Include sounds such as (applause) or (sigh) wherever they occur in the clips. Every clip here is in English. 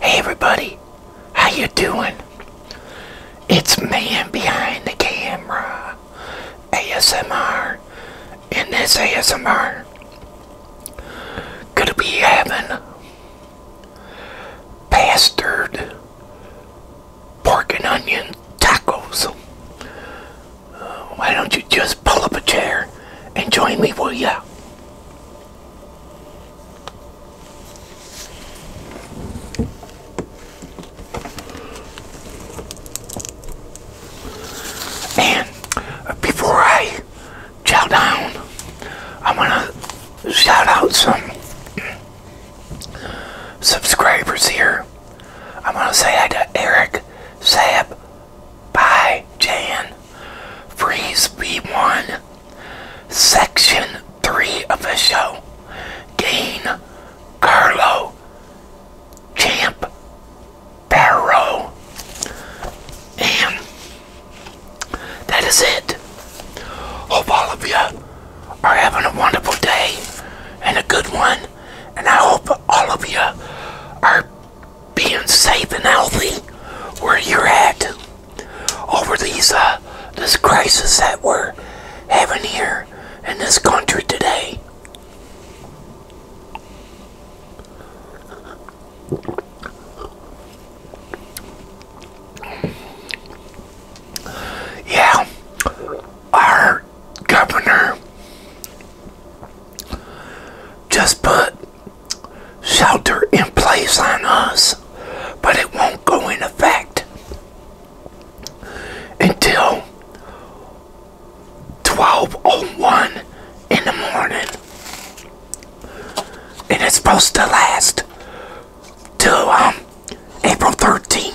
Hey everybody, how you doing? It's man behind the camera, ASMR, and this ASMR gonna be having bastard pork and onion tacos. why don't you just pull up a chair and join me, will ya? And before I chow down, I want to shout out some subscribers here. I want to say hi to Eric, Sab, Bye, Jan, Freeze b one Section 3 official, Gain Carlo Champ Barrow. And that is it. Hope all of you are having a wonderful day and a good one. And I hope all of you are being safe and healthy where you're at over these uh, this crisis that we're having here in this country today. Yeah, our governor just put shelter in place on us, but it won't go in effect until 12.01 in the morning. And it's supposed to last till um, April 13th.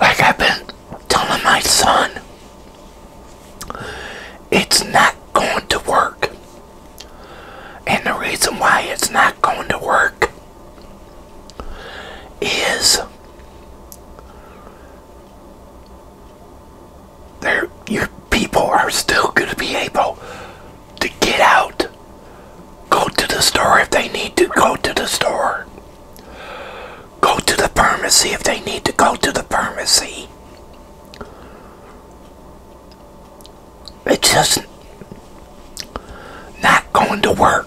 Like I've been telling my son, it's not going to work. And the reason why it's not going to work is your people are still going to be able to get out Go to the store if they need to go to the store. Go to the pharmacy if they need to go to the pharmacy. It's just not going to work.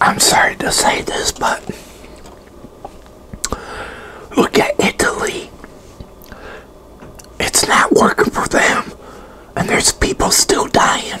I'm sorry to say this, but look at Italy. It's not working for them, and there's people still dying.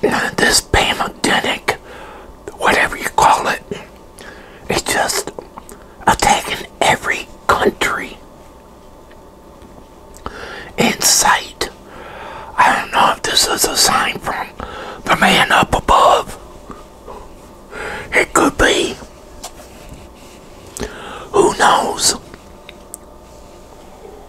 this pandemic, whatever you call it's just attacking every country in sight. I don't know if this is a sign from the man up above. It could be. Who knows?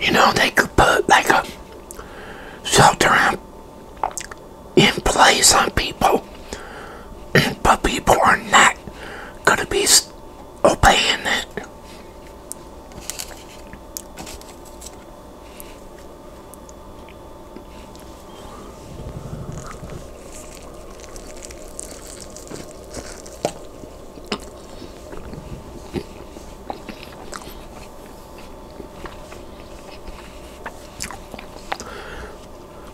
You know, they could put like a shelter in place on people, (clears throat) but people are not going to be Oh it.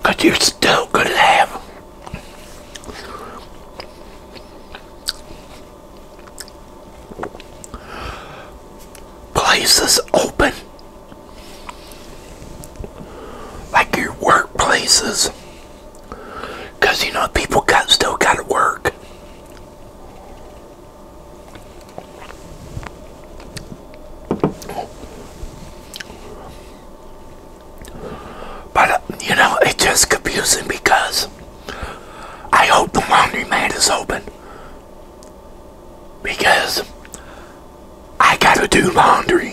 Cause you still could have places open, like your workplaces, because you know people got still got to work. But, you know, it's just confusing because I hope the laundry mat is open because I gotta do laundry.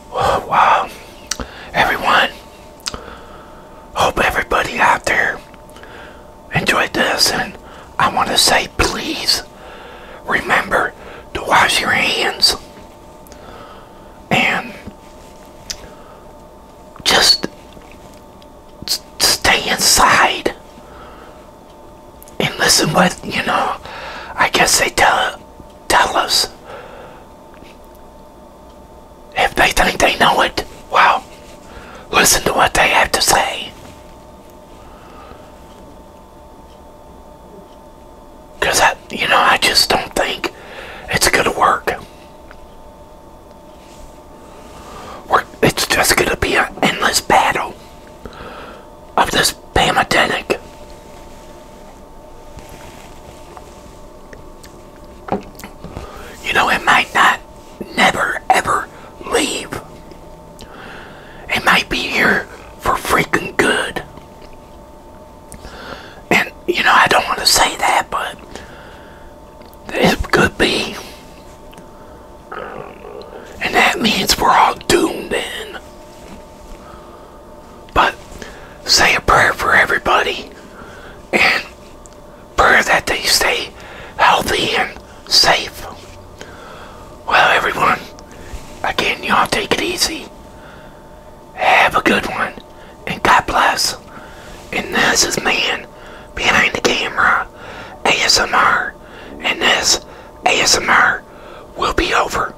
(sighs) wow everyone hope everybody out there enjoyed this and I want to say please remember to wash your hands and just stay inside and listen what you know I guess they tell tell us if they think they know it, well, listen to what they have to say. Because, I, you know, I just don't think it's going to work. it's just going to be an endless battle of this pandemic. You know, it might not never ever leave. It might be here for freaking good. And, you know, I don't want to say that, but it could be. And that means we're all doomed then. But say a prayer for everybody and pray that they stay healthy and safe. Well, everyone, again, y'all take it easy. Have a good one and God bless. And this is Man Behind the Camera ASMR. And this ASMR will be over.